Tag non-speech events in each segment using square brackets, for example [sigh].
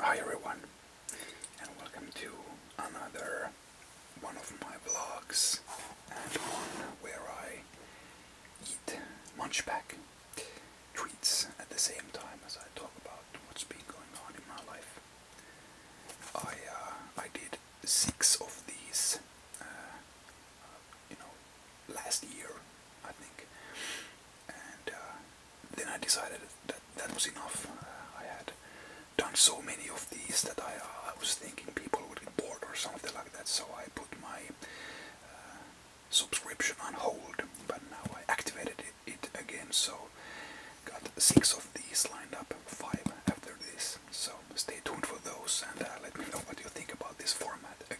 Hi everyone, and welcome to another one of my vlogs, and one where I eat munchback treats at the same time as I talk about what's been going on in my life. I uh, I did six of these, uh, you know, last year I think, and uh, then I decided that that was enough. Uh, I had done so many of these that I, uh, I was thinking people would get bored or something like that, so I put my uh, subscription on hold. But now I activated it, again, so got six of these lined up, five after this. So stay tuned for those and let me know what you think about this format again.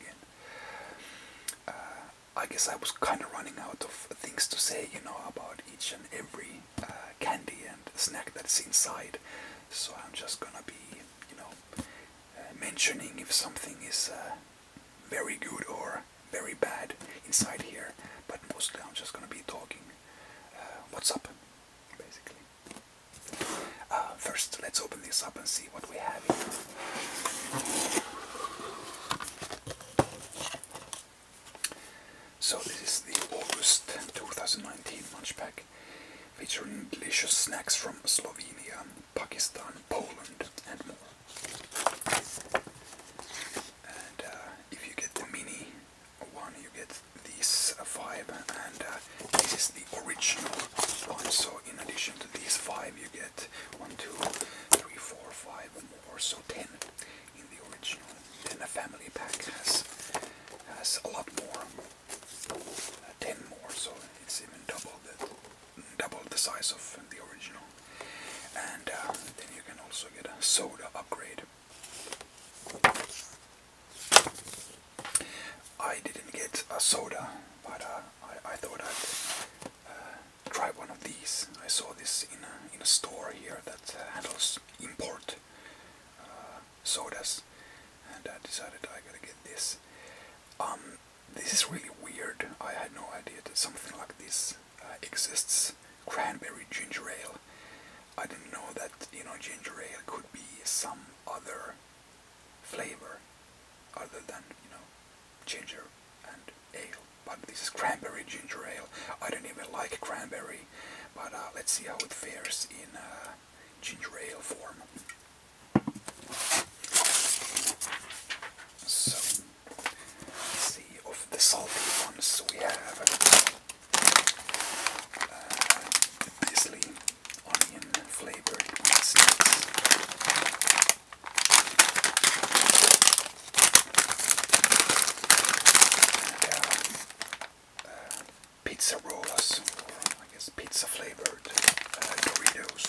I guess I was kind of running out of things to say, you know, about each and every uh, candy and snack that's inside. So I'm just gonna be, you know, uh, mentioning if something is uh, very good or very bad inside here. But mostly I'm just gonna be talking what's up, basically. first, let's open this up and see what we have here. So this is the August 2019 lunch pack featuring delicious snacks from Slovenia, Pakistan, Poland and more. And uh, if you get the mini one you get these uh, five and uh, this is the original one so in addition to these five you get one, two, three, four, five more, so ten in the original. Then a family pack has has a lot more, uh, ten more, so it's even double the double the size of the original. And uh, then you can also get a soda upgrade. I didn't get a soda, but uh, I, I thought I'd try one of these. I saw this in a, in a store here that uh, handles import uh, sodas, and I decided I gotta get this. Um, this is really weird. I had no idea that something like this uh, exists. Cranberry ginger ale. I didn't know that you know ginger ale could be some other flavor other than you know ginger and ale. But this is cranberry ginger ale. I don't even like cranberry, but uh, let's see how it fares in uh, ginger ale form. So, see, of the salty ones we have uh, onion flavored snacks. Uh, pizza rolls, I guess pizza flavored uh, Doritos.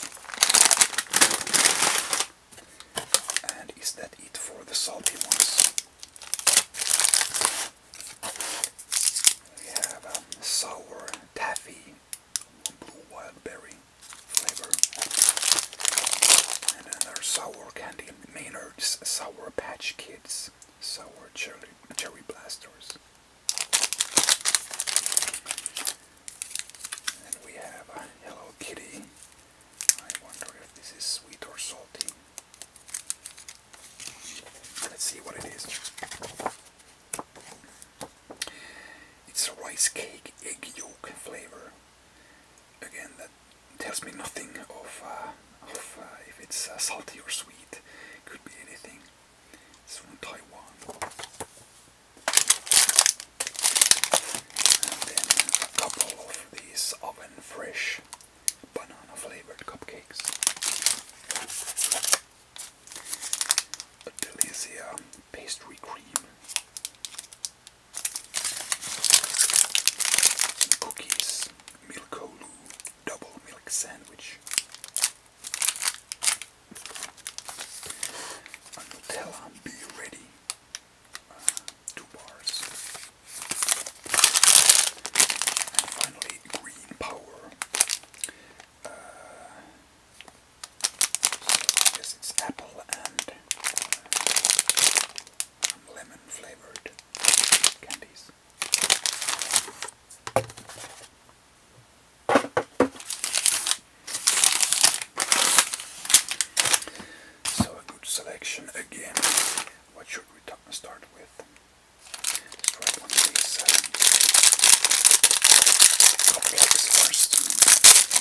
And is that it for the salty ones? We have um, sour taffy blue wild berry flavor. And then there's sour candy, Maynard's Sour Patch Kids, sour cherry, cherry blasters. And we have Hello Kitty. I wonder if this is sweet or salty. Let's see what it is. It's a rice cake egg yolk flavor. Again, that tells me nothing of, uh, of uh, if it's uh, salty or sweet. Could be anything. It's from Taiwan. And then a couple of these oven fresh banana flavored cupcakes. Delizia pastry cream. Cookies, milk double milk sandwich. Nutella, be ready. Uh, two bars. And finally, green power. Uh, I it's apple and um, lemon flavored candies. So a good selection again. What should we start with? Let's try one of these um, complex first.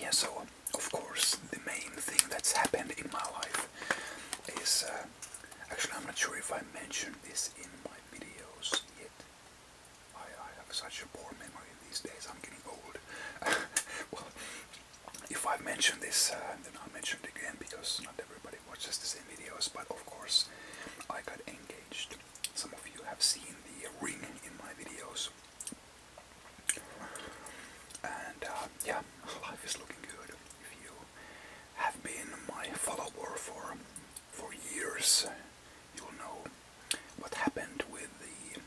Yeah, so of course the main thing that's happened in my life is uh, actually I'm not sure if I mentioned this in my videos yet. I, have such a poor memory these days. I'm getting old. [laughs] well, if I've mentioned this, uh, then I'll mention it again because not everybody watches the same videos. But of course, I got engaged. Some of you have seen the ring in my videos. And uh, yeah, life is looking good. If you have been my follower for for years, you'll know what happened with the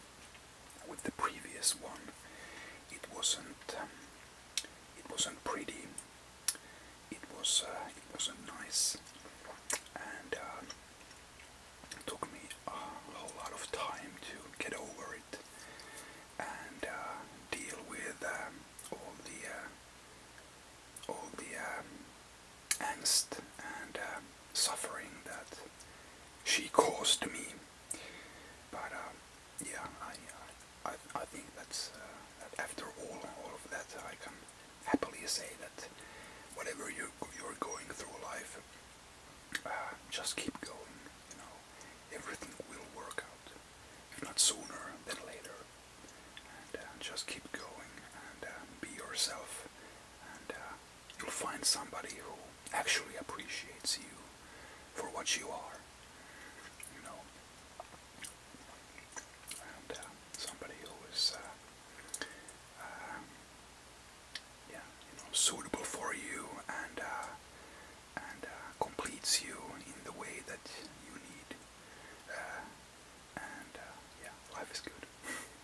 with the previous one it wasn't um, it wasn't pretty it was uh, it wasn't nice and um, it took me a whole lot of time to get over it and uh, deal with um, all the uh, all the angst and uh, suffering that she caused me. But uh, yeah, I, I, I think that's uh, that after all all of that, I can happily say that whatever you you're going through life, just keep going. You know, everything will work out. If not sooner than later, and just keep going and be yourself and. You'll find somebody who actually appreciates you for what you are. You know, uh, somebody who is, uh, um, yeah, you know, suitable for you and uh, and completes you in the way that you need. and yeah, life is good. [laughs]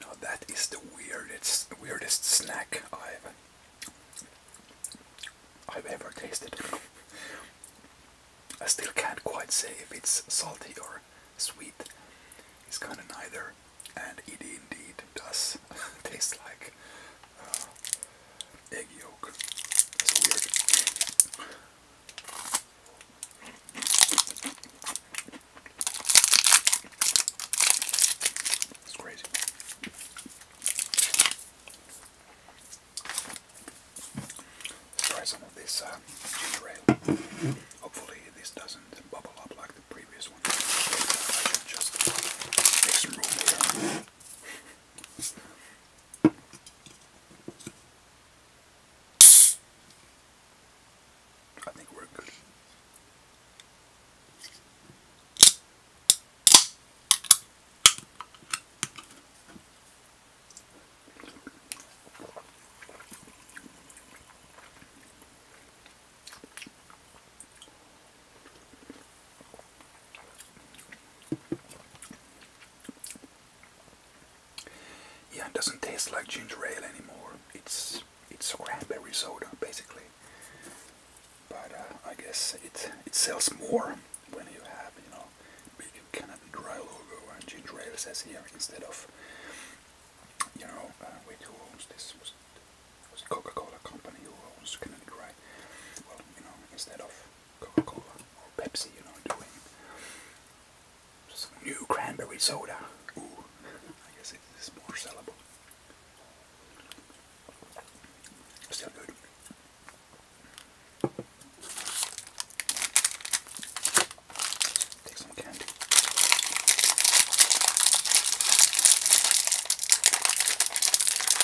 Now that is the weirdest weirdest snack I've I've ever tasted. I still can't quite say if it's salty or sweet. It's kind of neither, and it indeed does [laughs] taste like egg yolk. That's weird. It's crazy. Let's try some of this uh, ginger ale. Hopefully this doesn't bubble up like the previous one. just make I think we're good. Yeah, it doesn't taste like ginger ale anymore. It's it's cranberry soda basically, but uh, I guess it it sells more when you have you know big Canadian dry logo and ginger ale says here instead of you know uh, owns this was was Coca Cola company who owns Canadian dry well you know instead of Coca-Cola or Pepsi, you know, doing some new cranberry soda. Ooh, I guess it is more sellable. Still good. Take some candy.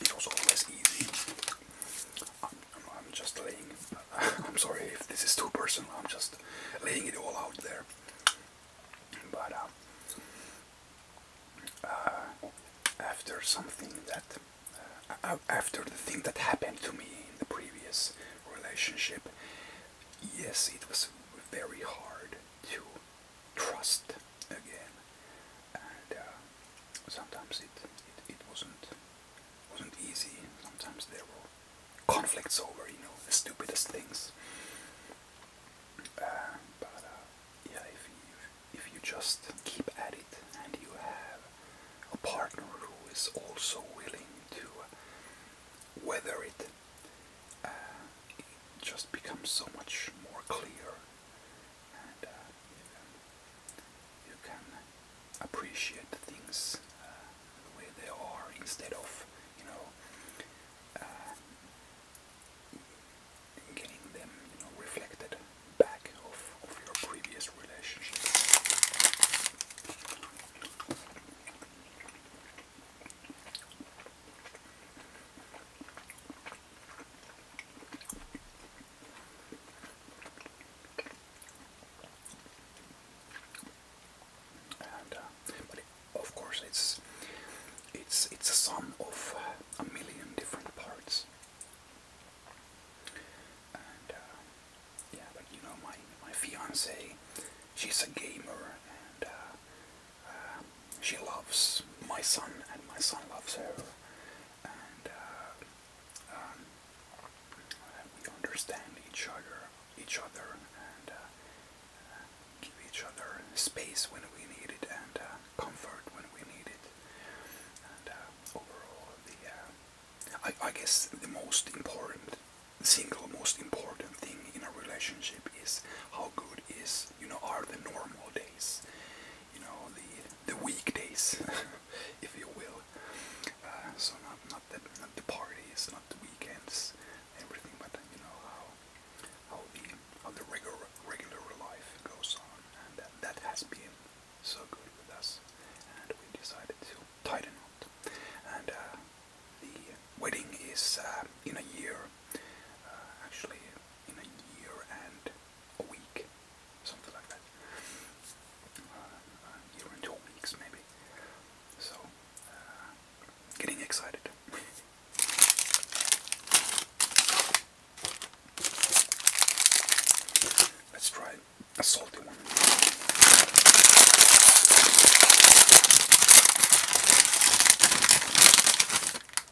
It was always easy. I'm, just laying. [laughs] I'm sorry if this is too personal. I'm just laying it all out there. But um, uh, after something that, uh, after the thing that happened to me in the previous relationship, yes, it was very hard to trust again. Uh, sometimes it, it it wasn't wasn't easy. Sometimes there were conflicts over you know the stupidest things. Uh, but uh, yeah, if you if you just keep at it and you have a partner who is also willing to weather it, it just becomes so much more clear and uh, you, know, you can uh, appreciate things uh, the way they are instead of you know uh, getting them you know reflected back of, of your previous relationship. Uh, of course, it's it's it's a sum of uh, a million different parts. Uh, yeah, but you know, my my fiance, she's a gamer, and she loves my son and my son loves her and uh, um, we understand each other each other and uh, give each other space when we need it and uh, comfort when we need it and overall the I, I guess the most important single most important thing in a relationship is how good is you know are the normal days holidays, you know, the the weekdays, [laughs] if you will. Uh, so not not the not the parties, not the weekends, everything, but you know how how the how the regular regular life goes on, and that, that has been so good with us, and we decided to tighten up. And uh, the wedding is uh, in a year, uh, actually in a year and a week, something like that. Uh, year and two weeks, maybe. So, uh, getting excited. [laughs] Let's try a salty one.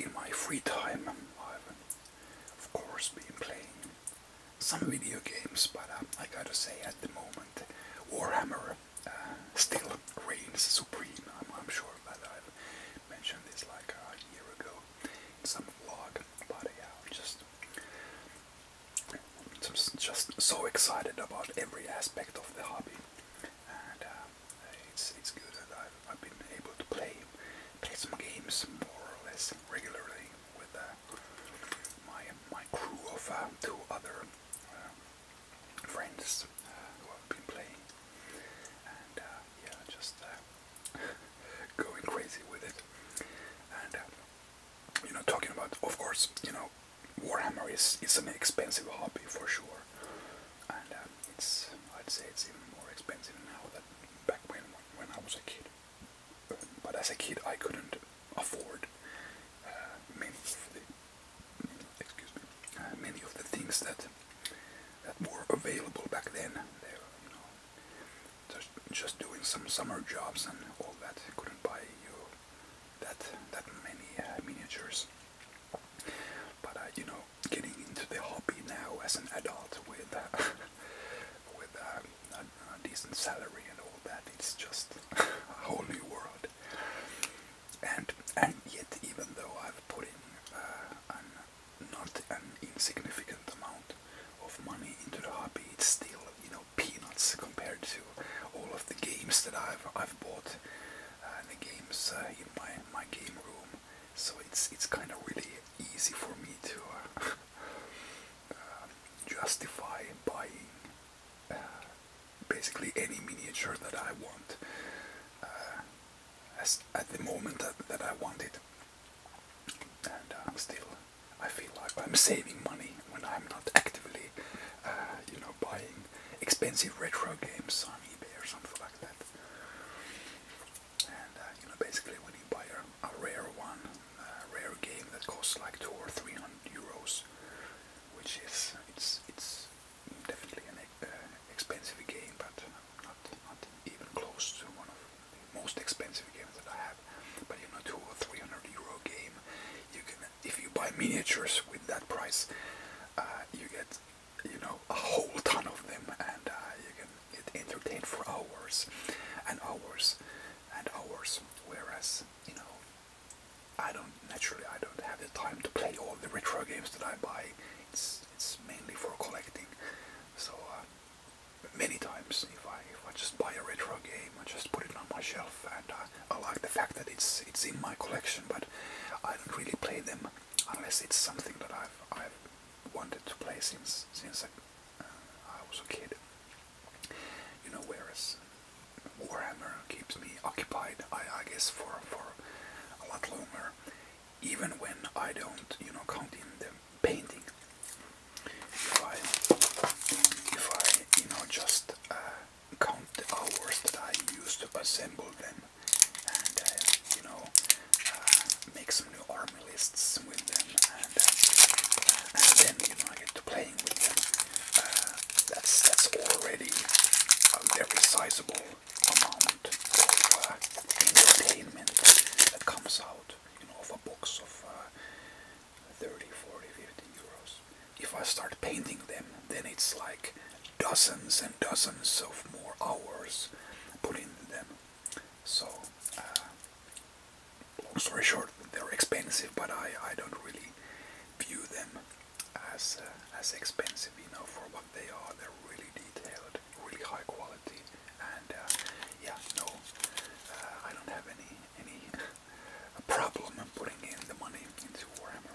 In my free time, I've of course been playing some video games, but um, I gotta say at the moment, Warhammer uh, still reigns supreme. I'm sure before, but I've mentioned this like a year ago in some vlog. But yeah, I'm just, just, just so excited about every aspect of the hobby, and uh, it's it's good that I've, I've been able to play play some games more or less regularly with uh, my my crew of uh, two other. Uh, friends uh, who have been playing, and uh, yeah, just uh, [laughs] going crazy with it. And uh, you know, talking about, of course, you know, Warhammer is is an expensive hobby for sure, and um, it's I'd say it's even more expensive now than back when when I was a kid. But as a kid, I couldn't afford uh, many of the excuse me, uh, many of the things that that were available back then. They were, you know, just, just doing some summer jobs and all that couldn't buy you that that many uh, miniatures. But uh, you know, getting into the hobby now as an adult with [laughs] with a decent salary and all that, it's just [laughs] a whole new world and and yet even though I've put in uh, not an insignificant amount of money into the hobby, it's still you know peanuts compared to all of the games that I've I've bought uh, the games uh, in my my game room. So it's it's kind of really easy for me to [laughs] justify buying basically any miniature that I want at the moment that, I want it. And I'm uh, still, I feel like I'm saving money when I'm not actively, uh, you know, buying expensive retro games on eBay or something like that. And uh, you know, basically, when you buy a rare one, a rare game that costs like two or three hundred euros, which is it's it's definitely an uh, expensive game, but not not even close to one of the most expensive games that I have. But you know, two or three hundred euro game, you can if you buy miniatures with that price, uh, you get you know a whole ton of them, and uh, you can get entertained for hours and hours and hours. Whereas you know, I don't naturally I don't have the time to play all the retro games that I buy it's it's mainly for collecting. So uh, many times, if I if I just buy a retro game, I just put it on my shelf, and uh, I like the fact that it's it's in my collection, but I don't really play them unless it's something that I've I've wanted to play since since I, uh, I was a kid. You know, whereas Warhammer keeps me occupied, I, I guess, for for a lot longer even when I don't, you know, count in the painting. If I, if I you know, just uh, count the hours that I use to assemble them and, uh, you know, uh, make some new army lists with them and, uh, then, you know, get to playing with them. that's, that's already very sizable amount of entertainment that comes out of a box of uh, euros. If I start painting them, then it's like dozens and dozens of more hours put them. So, uh, long story short, they're expensive, but I, I don't really view them as uh, as expensive, you know, for what they are. They're really detailed, really high quality, and uh, yeah, no, uh, I don't have any any [laughs] problem putting in the money into Warhammer.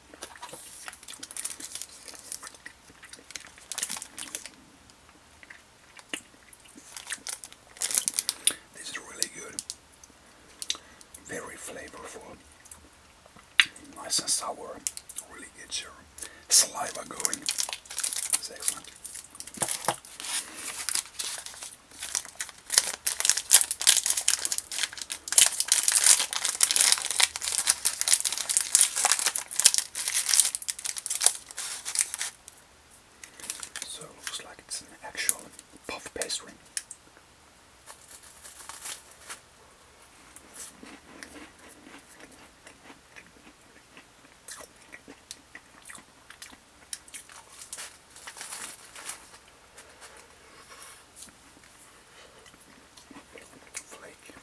This is really good, very flavorful, nice and sour, really gets your saliva going. excellent. So it looks like it's an actual puff pastry. Flake.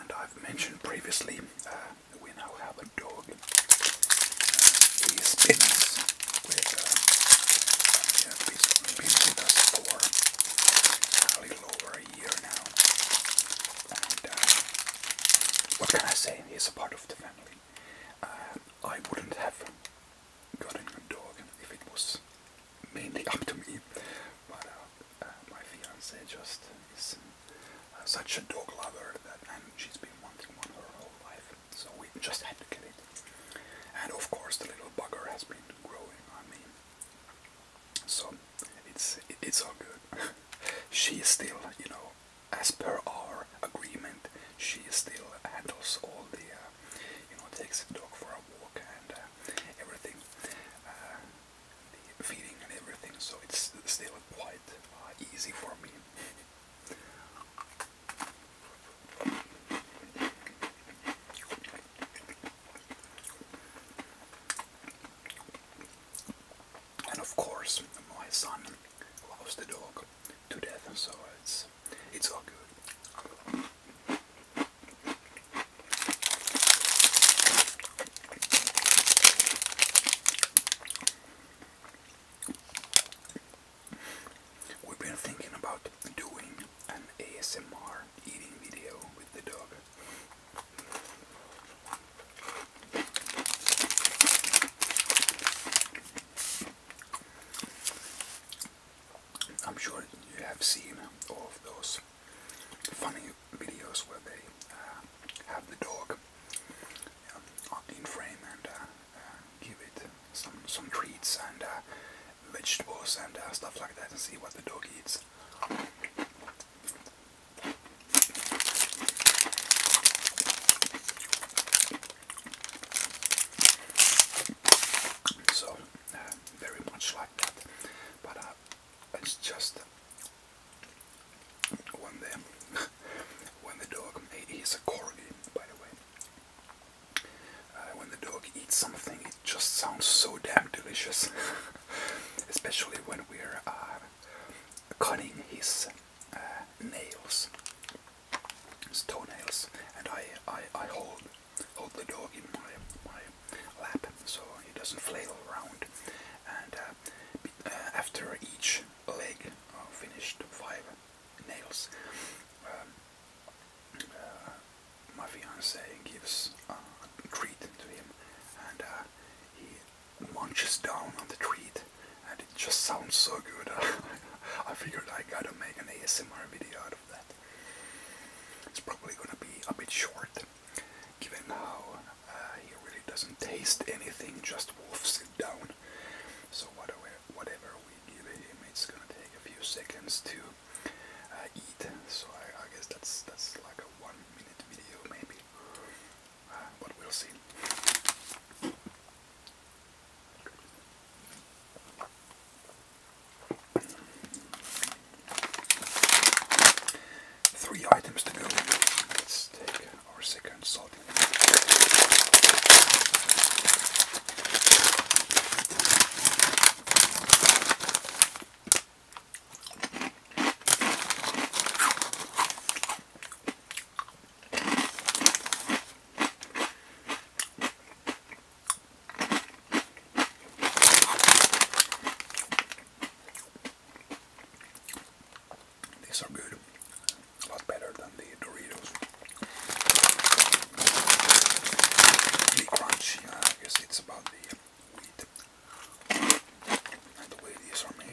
And I've mentioned previously we uh, now have a dog. Uh, he spins uh, been, with us for a little over a year now. what can I say? He's a part of the family. I wouldn't have gotten a dog if it was mainly up to me, but uh, uh, my fiance just is uh, such a dog lover that and she's been wanting one her whole life, so we just had to get it. And of course, the little bugger has been growing on me, so it's it's all good. [laughs] she still, you know, as per our agreement, she still handles all the you know, takes the dog for a walk and uh, everything, uh, the feeding and everything. So it's still quite uh, easy for me. And of course, my son loves the dog to death, so it's it's all good. We've been thinking about doing an ASMR eating video with the dog. I'm sure you have seen all of those funny videos where they uh, have the dog in frame and uh, uh, give it some some treats and vegetables and stuff like that and see what the dog eats. So uh, very much like that. But uh, it's just when the [laughs] when the dog he's a corgi, by the way. Uh, when the dog eats something, it just sounds so damn delicious. [laughs] Especially when we're cutting his nails his toenails, and I I, I hold hold the dog in my my lap so he doesn't flail around. And uh, uh, after each leg uh, finished five nails, um, uh, my fiance gives a treat to him, and he munches down on the treat, and it just sounds so good. [laughs] I figured I gotta make an ASMR video out of that. It's probably going to be a bit short, given how uh, he really doesn't taste anything, just woofs it down. So whatever, whatever we give him, it's going to take a few seconds to uh, eat. So I, guess that's that's like a one-minute video, maybe. Uh, but we'll see. Three items to go. Let's take our second salt. These are good. A lot better than the Doritos. Really crunchy. I guess it's about the wheat and the way these are made.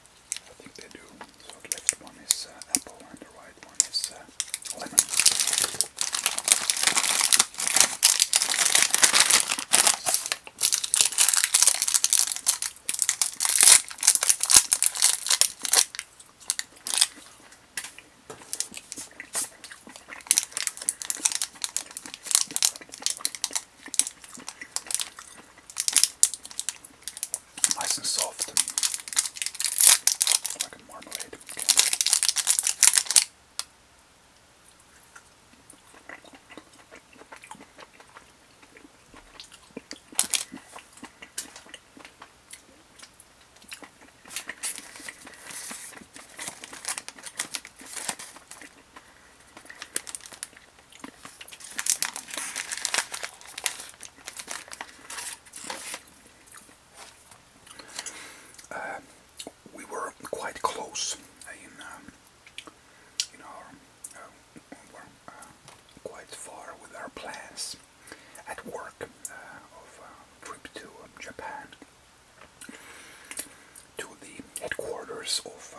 I think they do. So the left one is uh, apple and the right one is uh, lemon nice and soft like a marmalade we were quite close in um, in uh, uh, quite far with our plans at work uh, of trip to um, Japan to the headquarters of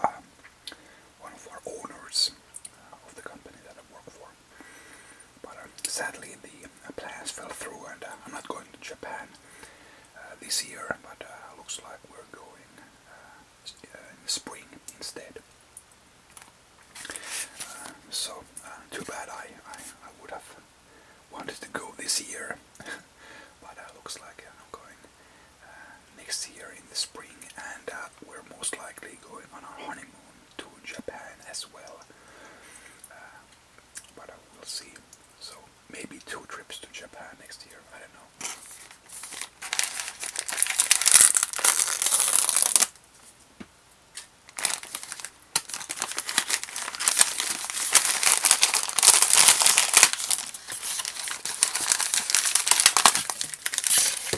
one of our owners uh, of the company that I work for. But uh, sadly, the uh, plans fell through, and uh, I'm not going to Japan uh, this year. But uh, looks like we're going uh, uh in the spring instead. Uh, so uh, too bad. I, I I would have wanted to go this year, [laughs] but uh, looks like uh, I'm going uh, next year in the spring, and uh, we're most likely going on our honeymoon to Japan as well. Uh, but we'll see. So maybe two trips to Japan next year. I don't know.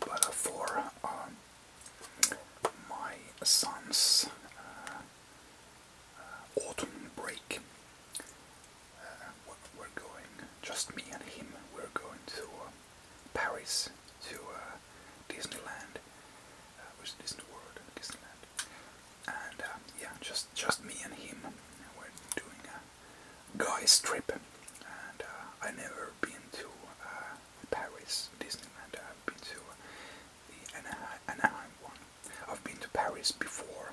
but uh, for um, my son's uh, uh, autumn break, we're going, just me and him, we're going to Paris, to Disneyland, which is Disney World, Disneyland, and yeah, just just me and him, we're doing guys trip and uh, I've never been to uh, Paris Disneyland I've been to Anaheim one I've been to Paris before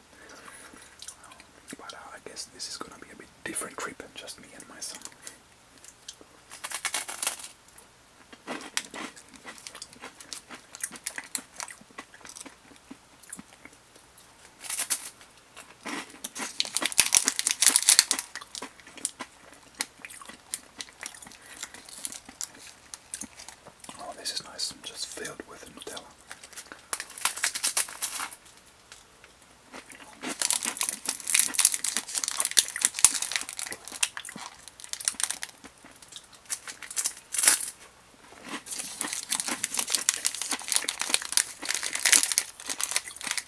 but uh, I guess this is gonna be a bit different trip just me and my son Oh, this is nice, I'm just filled with Nutella.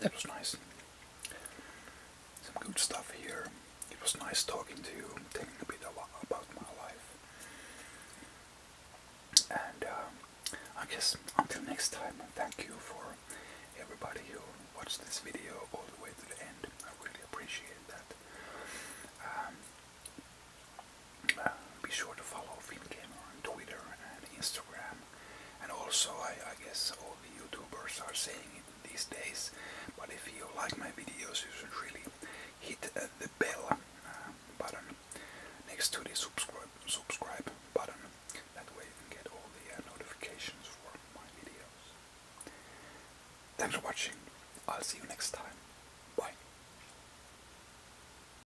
that was nice. Some good stuff here. It was nice talking to you, telling a bit about my life. And uh, I guess until next time, thank you for everybody who watched this video all the way to the end. I really appreciate that. Um, be sure to follow Film FinGamer on Twitter and Instagram. And also, I, guess all the YouTubers are saying it these days, but if you like my videos, you should really hit uh, the bell uh, button next to the subscribe subscribe button. That way, you can get all the uh, notifications for my videos. Thanks for watching. I'll see you next time. Bye.